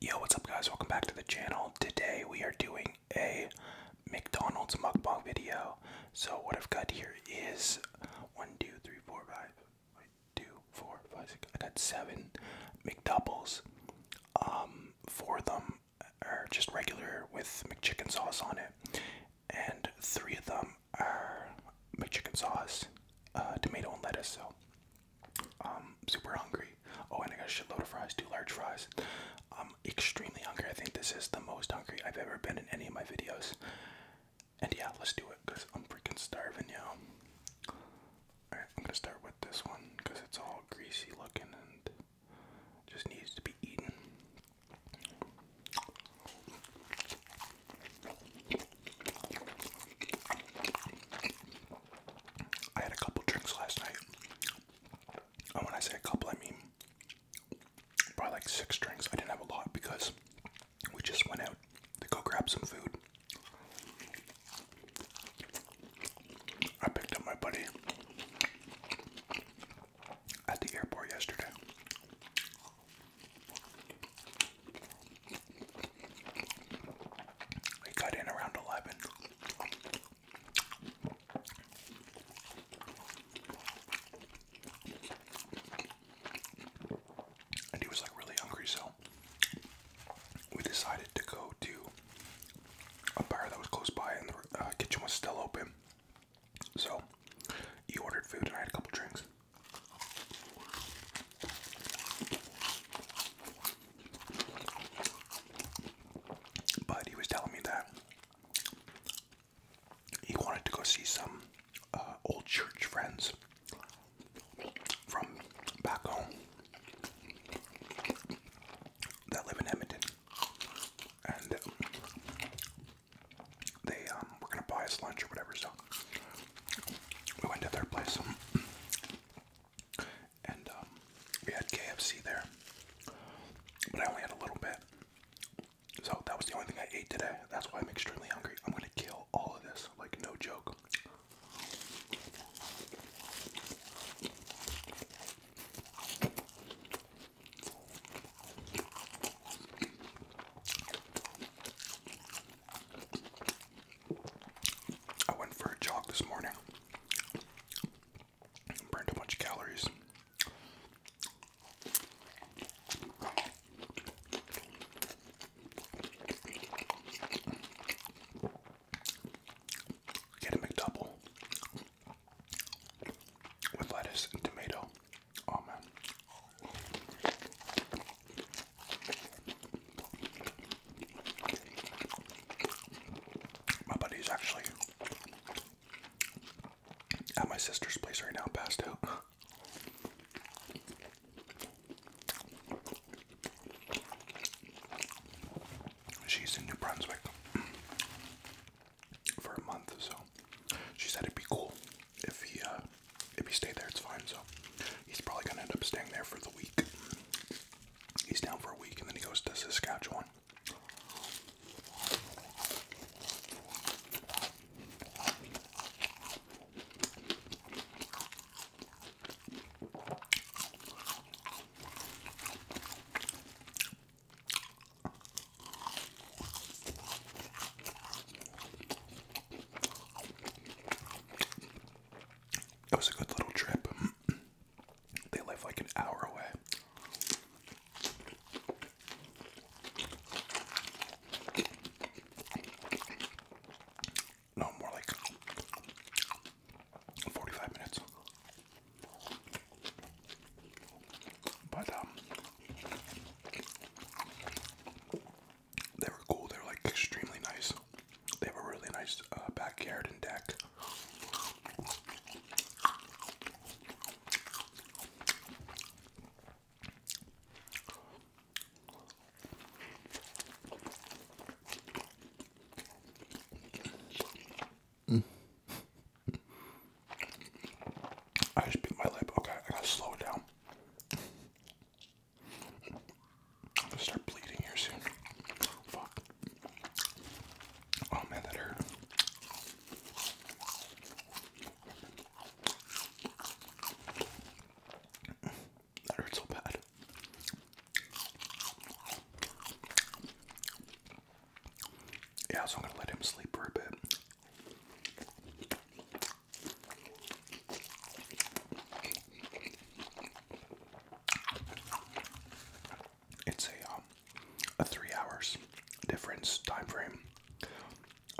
Yo, what's up guys? Welcome back to the channel. Today we are doing a McDonald's mukbang video. So what I've got here is one, two, three, four, five, I got seven McDoubles. Um, four of them are just regular with McChicken sauce on it, and three of them are McChicken sauce, uh, tomato and lettuce. So um, super hungry. Oh, and I got a shitload of fries, two large fries. I'm extremely hungry. I think this is the most hungry I've ever been in any of my videos. And yeah, let's do it because I'm freaking starving, yo. Alright, I'm gonna start with this one because it's all greasy looking and just needs to be eaten. I had a couple drinks last night. And when I say a couple, I mean probably like six drinks. I didn't have a lot because we just went out to go grab some food. I picked up my buddy at the airport yesterday. We got in around 11. And he was like really hungry, so we decided to go to a bar that was close by, and the uh, kitchen was still open. So he ordered food, and I had a couple drinks. But he was telling me that he wanted to go see some uh, old church friends from back home that live in Edmonton, and um, they um, were gonna buy us lunch or whatever. So we went to their place um, and um, we had KFC there, but I only had a little bit. So that was the only thing I ate today. That's why I'm extremely hungry. I'm gonna kill all of this, like no joke. I went for a jog this morning. Burned a bunch of calories. Get a McDouble with lettuce and tomato. Oh man. My buddy's actually at my sister's place right now, passed out. She's in New Brunswick for a month, so she said it'd be cool if he uh, if he stayed there, it's fine. So he's probably gonna end up staying there for the week. He's down for a week, and then he goes to Saskatchewan. It was a good little trip. They live like an hour away. No, more like 45 minutes. But, um, they were cool. They were like extremely nice. They have a really nice uh, backyard and deck. I just beat my lip. Okay, I gotta slow down. I'm gonna start bleeding here soon. Fuck. Oh man, that hurt. That hurt so bad. Yeah, so I'm gonna let him sleep for a bit. It's a um, a three hours difference time frame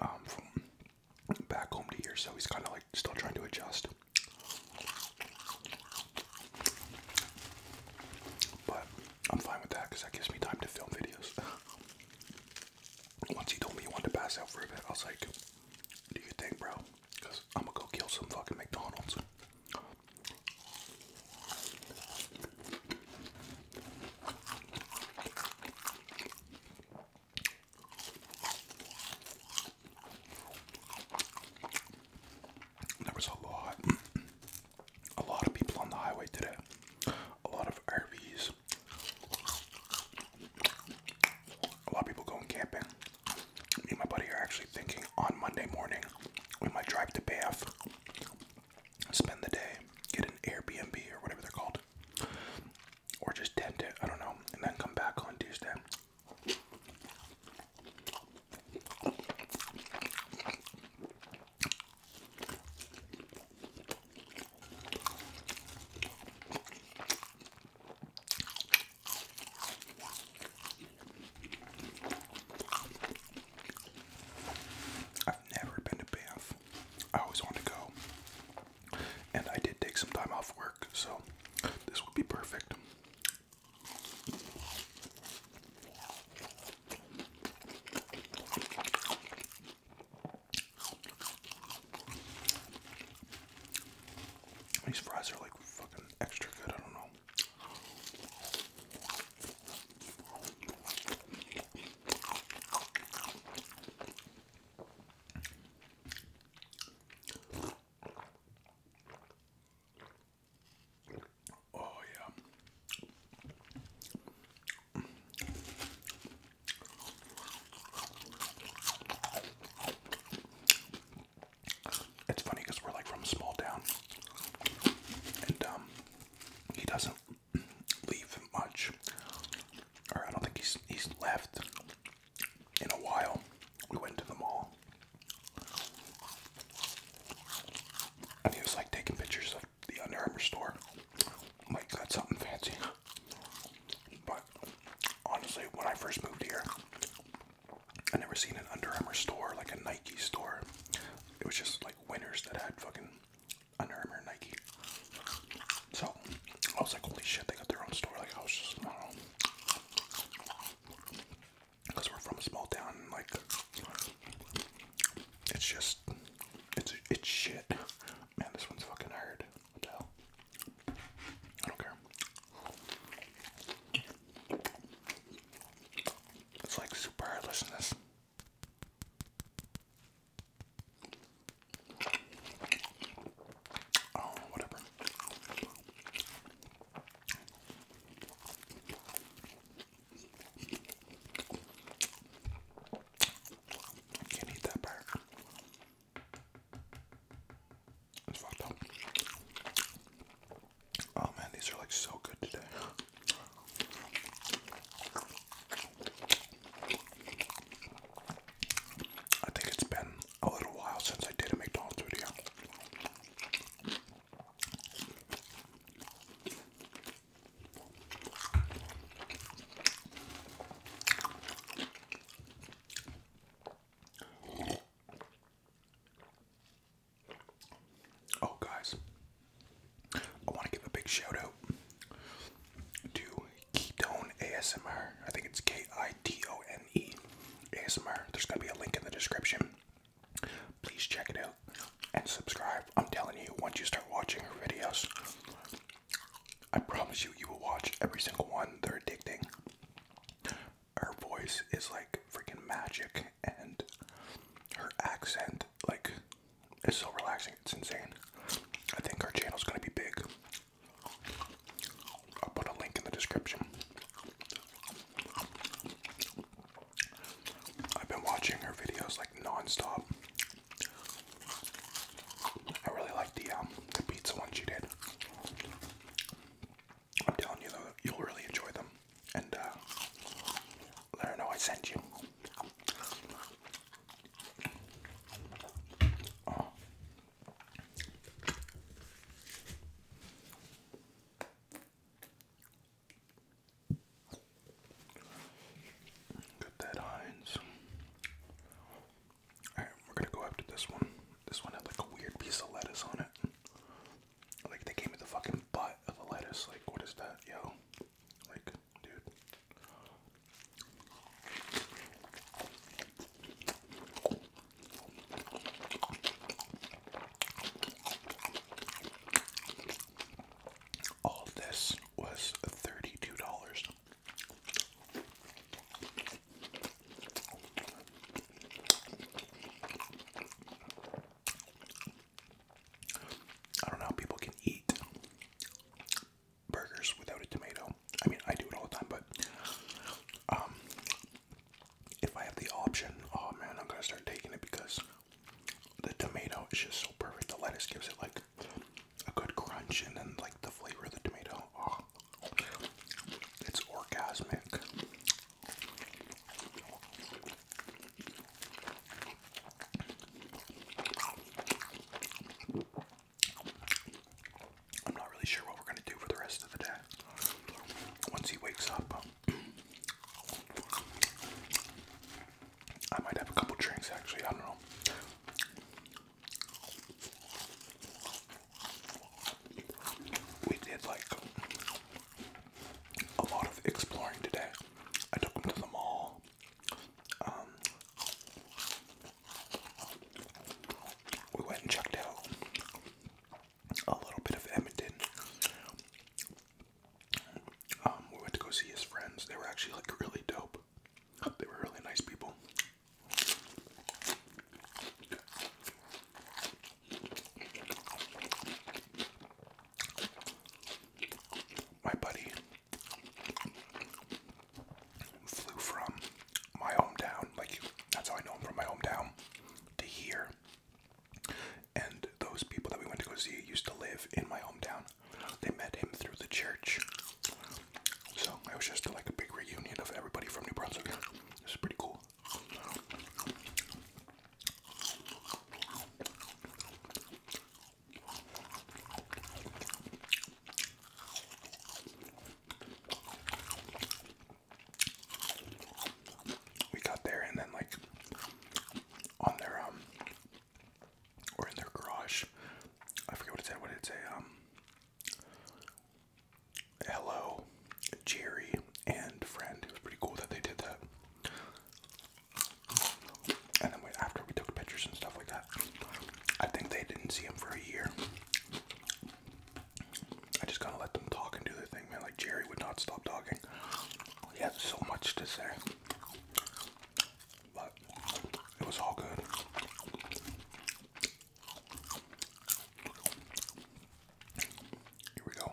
um, from back home to here, so he's kind of like still trying to adjust. But I'm fine with that because that gives me time to film videos. Once he told me he wanted to pass out for a bit, I was like, do you think, bro? Because I'm gonna go kill some fucking McDonald's. There was a lot, a lot of people on the highway today a lot of RVs. A lot of people going camping. Me and my buddy are actually thinking on Monday morning we might drive to Banff, spend the day, get an Airbnb or whatever they're called, or just tent it, I don't know, and then come back on Tuesday. I've never been to Banff. I always wanted to go. And I did take some time off work, so this would be perfect. These fries are like fucking extra good. I don't know. Oh yeah. It's funny because we're like from small town, and um, he doesn't leave much, or I don't think he's he's left in a while. We went to the mall, and he was like taking pictures the Under Armour store might got something fancy. But honestly, when I first moved here, I never seen an Under Armour store like a Nike store. It was just like winners that had fucking Under Armour Nike. So I was like, holy shit, they got their own store. Like I was just, Because we're from a small town, like it's just, it's it's shit. Man, this one's fucking hard. I don't care. It's like super hard listening this. Oh, whatever. Can't eat that part. It's fucked up. Oh man, these are like so good today. I think it's been a little while since I did a McDonald's video. Oh, guys, I want to give a big shout out to Ketone ASMR. I think it's K I T O N E ASMR. There's going to be a link in the description please check it out and subscribe. I'm telling you, once you start watching her videos, I promise you, you will watch every single one. They're addicting. Her voice is like freaking magic, and her accent, like, is so relaxing. It's insane. I think our channel's gonna be big. I'll put a link in the description. I've been watching her videos like non-stop. I really like the um the pizza one she did. I'm telling you though, you'll really enjoy them. And uh let her know I sent you. Got that Heinz. Alright, we're gonna go after this one. This one had like a weird piece of lettuce on it. Like they gave me the fucking butt of the lettuce. Like what is that, yo? Like, dude. All this was $32. I don't know how people can eat burgers without a tomato. I mean, I do it all the time, but um, if I have the option, oh man, I'm gonna start taking it because the tomato is just so perfect. The lettuce gives it like a good crunch, and then like the flavor of the tomato, oh, it's orgasmic. I'm not really sure what we're gonna do for the rest of the day. Once he wakes up, I might have a couple drinks actually, I don't know. We did like a lot of exploring today. I took them to the mall. Um, we went and checked out a little bit of Edmonton. Um, we went to go see his friends. They were actually like really dope. They were really nice people. My buddy flew from my hometown. Like that's how I know him from my hometown to here. And those people that we went to go see used to live in my hometown. They met him through the church. So it was just like a big reunion of everybody from New Brunswick. This is pretty cool we got there and then like on their um or in their garage I forget what it said what did it say um hello Jerry and friend it was pretty cool that they did that and then after we took pictures and stuff like that I think they didn't see him for a year I just kind of let them talk and do their thing, man. Like Jerry would not stop talking. He had so much to say, but it was all good. Here we go.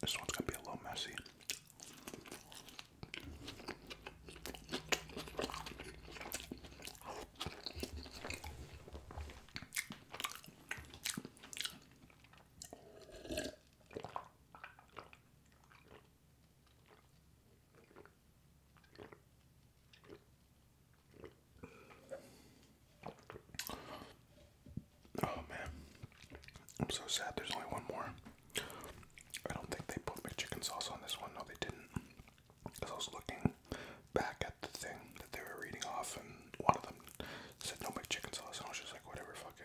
This one's gonna be a little messy. Oh man, I'm so sad. There's only one more. I don't think they put chicken sauce on this one. No, they didn't. Because I was looking back at the thing that they were reading off, and one of them said "Don't make chicken sauce, and I was just like, whatever, fuck it.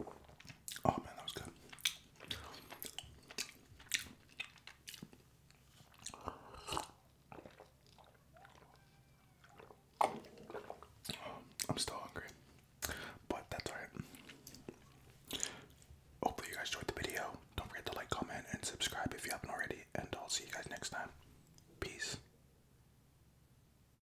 Oh man, that was good. I'm still hungry, but that's alright. Hopefully, you guys enjoyed the video. Don't forget to like, comment, and subscribe if you haven't already. And I'll see you guys next time. Peace.